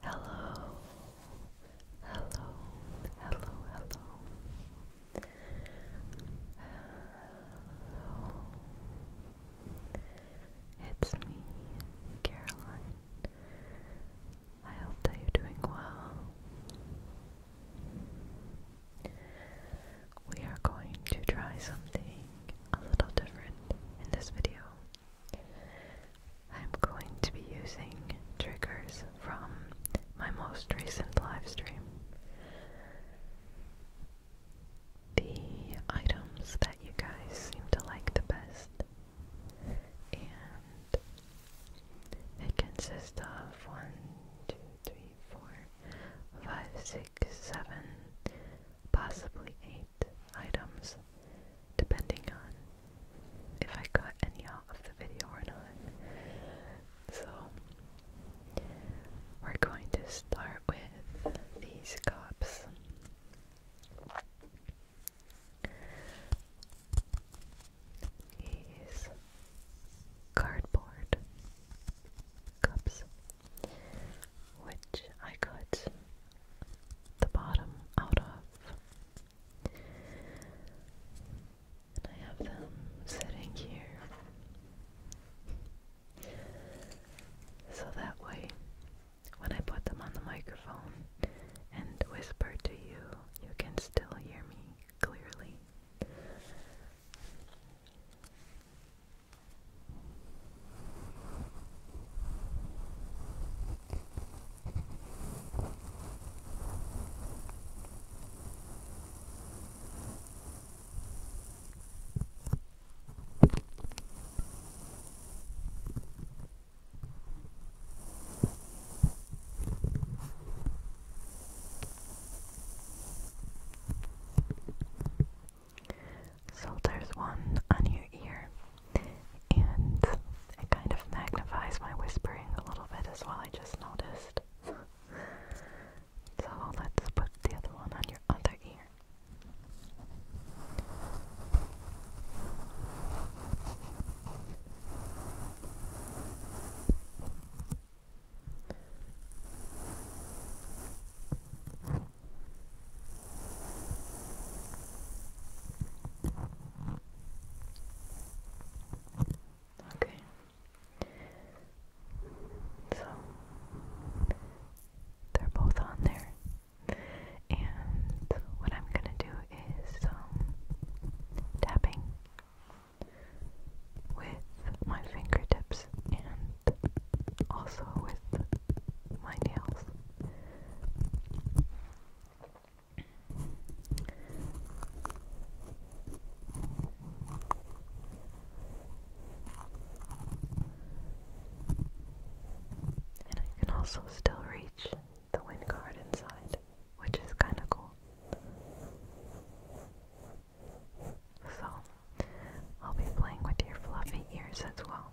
Hello, hello, hello, hello. Hello. It's me, Caroline. I hope that you're doing well. We are going to try something a little different in this video. I'm going to be using triggers from my most recent live stream. The items that you guys seem to like the best and it consists of one, two, three, four, five, six, seven, possibly eight items, depending on if I got any of the video or not. So we're going to start with these cups. These cardboard cups, which I cut the bottom out of, and I have them sitting here so that way when I put them on the microphone and whisper to you, you can still hear me clearly. So there's one on your ear, and it kind of magnifies my whispering a little bit as well, I just noticed. so let's put the other one on your other ear. Okay. So they're both on there. And what I'm gonna do is um, tapping with my fingertips and also with my nails. And I can also still reach the wind card inside, which is kind of cool. So, I'll be playing with your fluffy ears as well.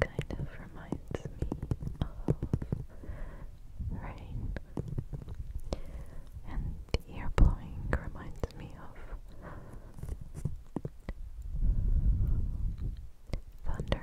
Kind of reminds me of rain, and the air blowing reminds reminds me of Thunder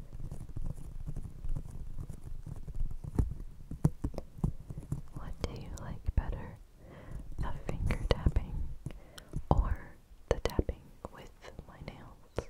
What do you like better? The finger tapping or the tapping with my nails?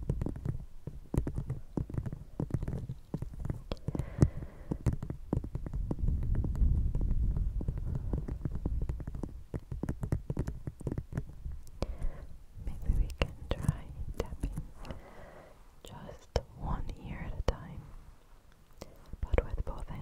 Maybe we can try tapping just one ear at a time, but with both hands.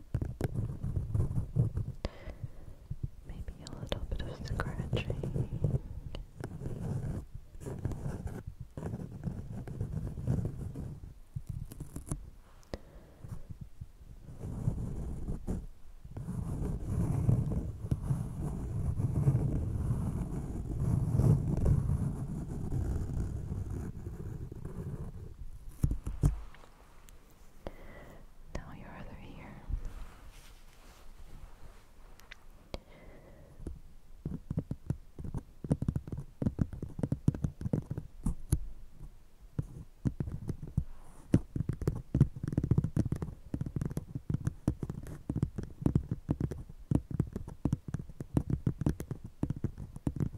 Maybe a little bit of scratching. Now your other ear.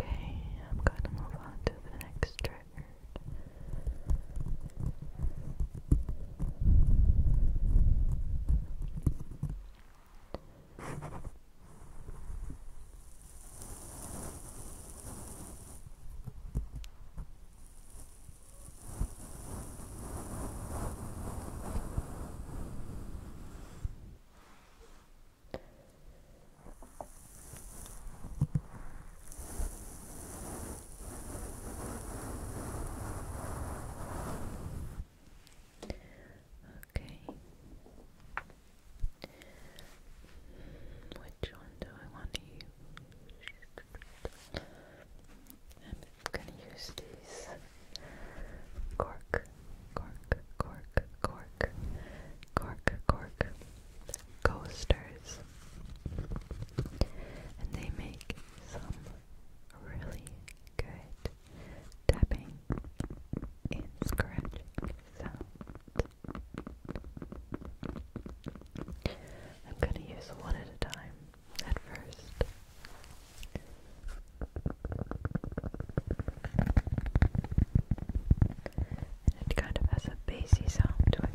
Okay, I'm gonna move on to the next trigger. Okay. Which one do I want to use? I'm gonna use these cork cork, cork, cork, cork, cork coasters. And they make some really good tapping and scratching sound. I'm gonna use one at a time at first it kind of has a bassy sound to it.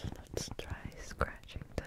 let's try scratching them.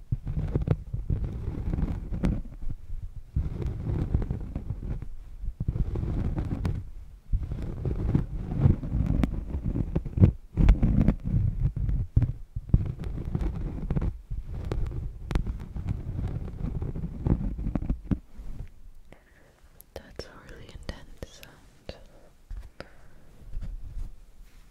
That's a really intense sound.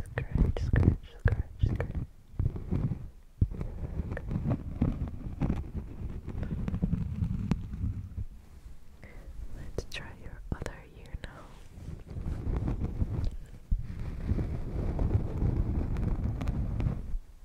Scratch, scratch, scratch, scratch. Let's try your other ear now.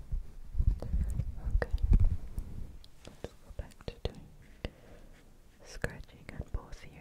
Okay, let's go back to doing scratching on both ears.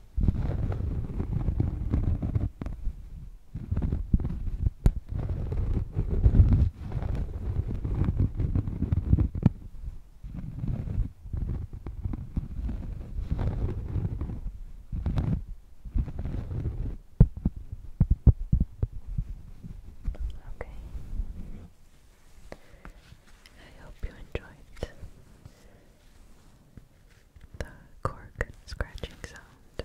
Okay. I hope you enjoyed the cork scratching sound.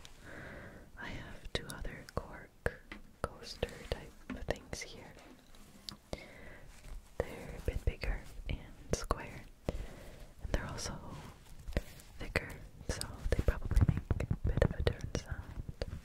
I have two other cork coaster type things here. They're a bit bigger and square, and they're also thicker, so they probably make a bit of a different sound.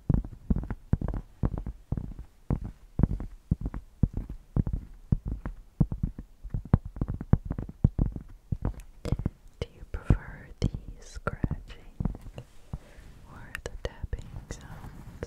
Do you prefer the scratching or the tapping sounds?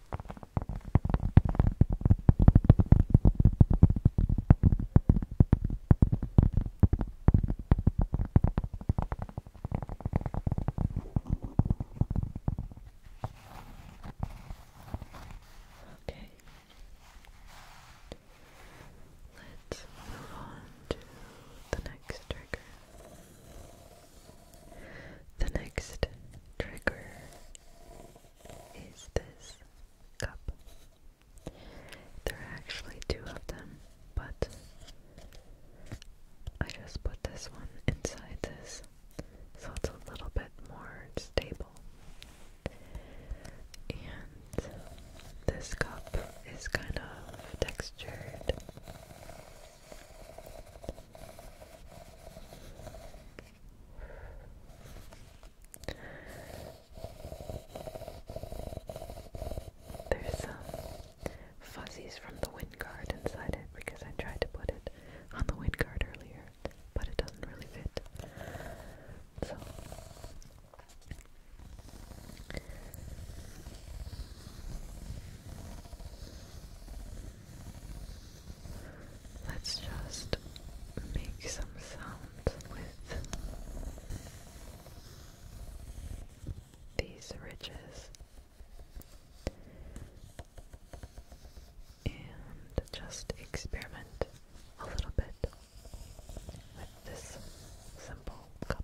Okay. Let's move on to the next trigger. The next trigger is this cup. There are actually two of them, but I just put this one inside this so it's a little bit more stable. And this cup is kind of textured. There's some uh, fuzzies from the wind guard inside it because I tried to put it on the wind guard earlier, but it doesn't really fit. So Let's just make some sounds with these ridges and just experiment a little bit with this simple cup.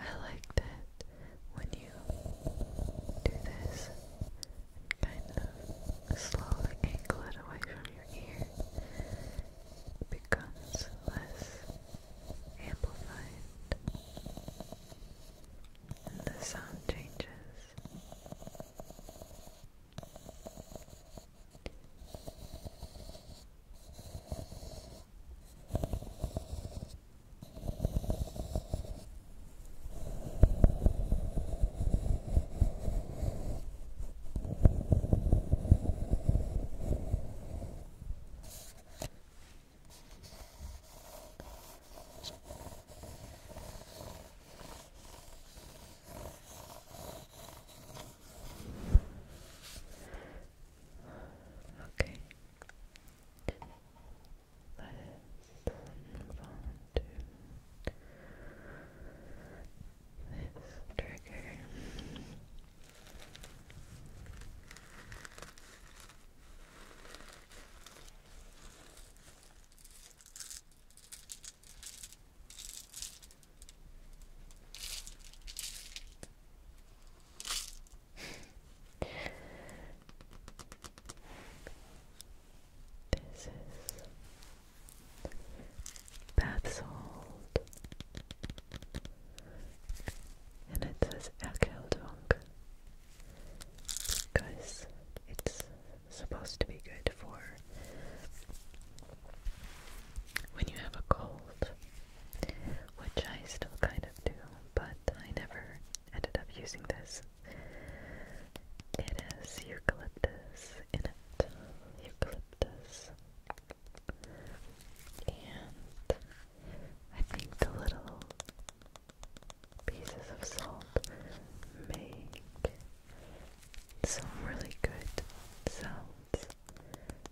I like that when you do this and kind of slowly angle it away from you your ear becomes less amplified and the sound changes. Okay. Let's move on to this trigger. This is bath salt, and it says Erkeldung because it's supposed to be good for when you have a cold, which I still kind of do, but I never ended up using this. It eucalyptus in it this. And I think the little pieces of salt make some really good sounds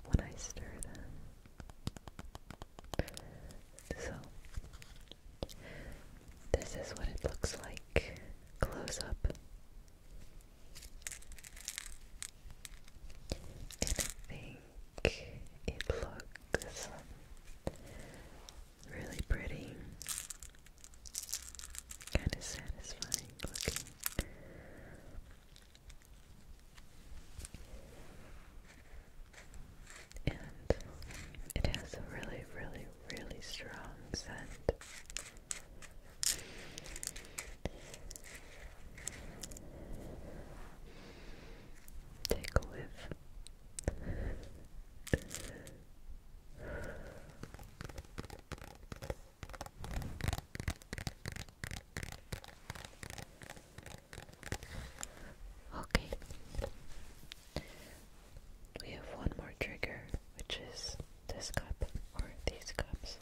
when I stir them. So, this is what it looks like close up. And I think it looks really pretty, kind of satisfying looking. And it has a really, really, really strong scent. Take a whiff. Okay. We have one more trigger, which is this cup or these cups,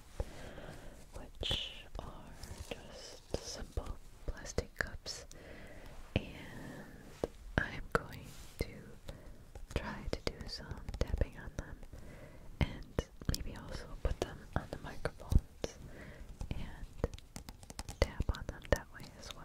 which are just simple plastic cups, and I'm going to try to do some tapping on them and maybe also put them on the microphones and tap on them that way as well.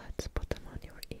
Let's put them on your ears.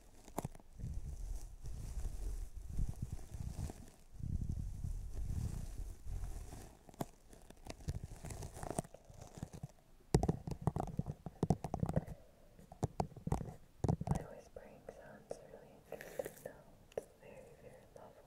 My whispering sounds really interesting now. It's very, very novel.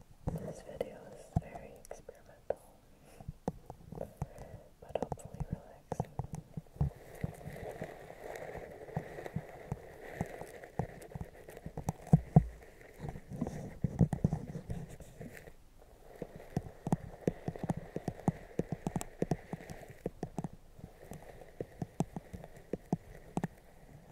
This video is very experimental, but hopefully relaxing.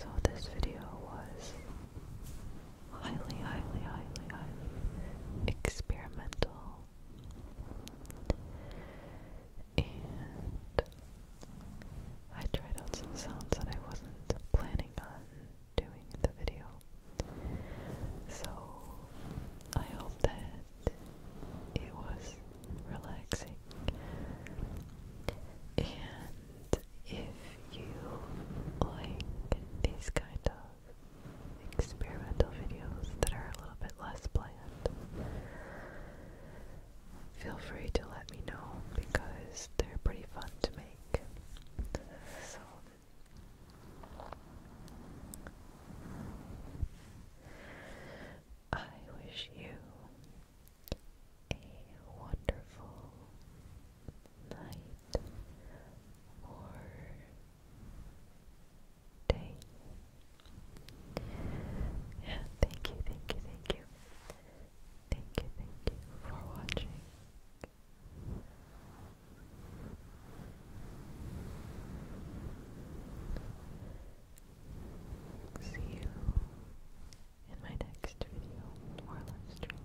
So this video was highly, highly, highly, highly experimental and I tried out some sounds that I wasn't planning on doing in the video. So I hope that it was relaxing. And if you like these kind of experimental videos that are a little bit less planned, feel free to let me know because they're pretty fun to make. So I wish you a wonderful night or day. Yeah, thank you, thank you, thank you Thank you, thank you for watching. See you in my next video or live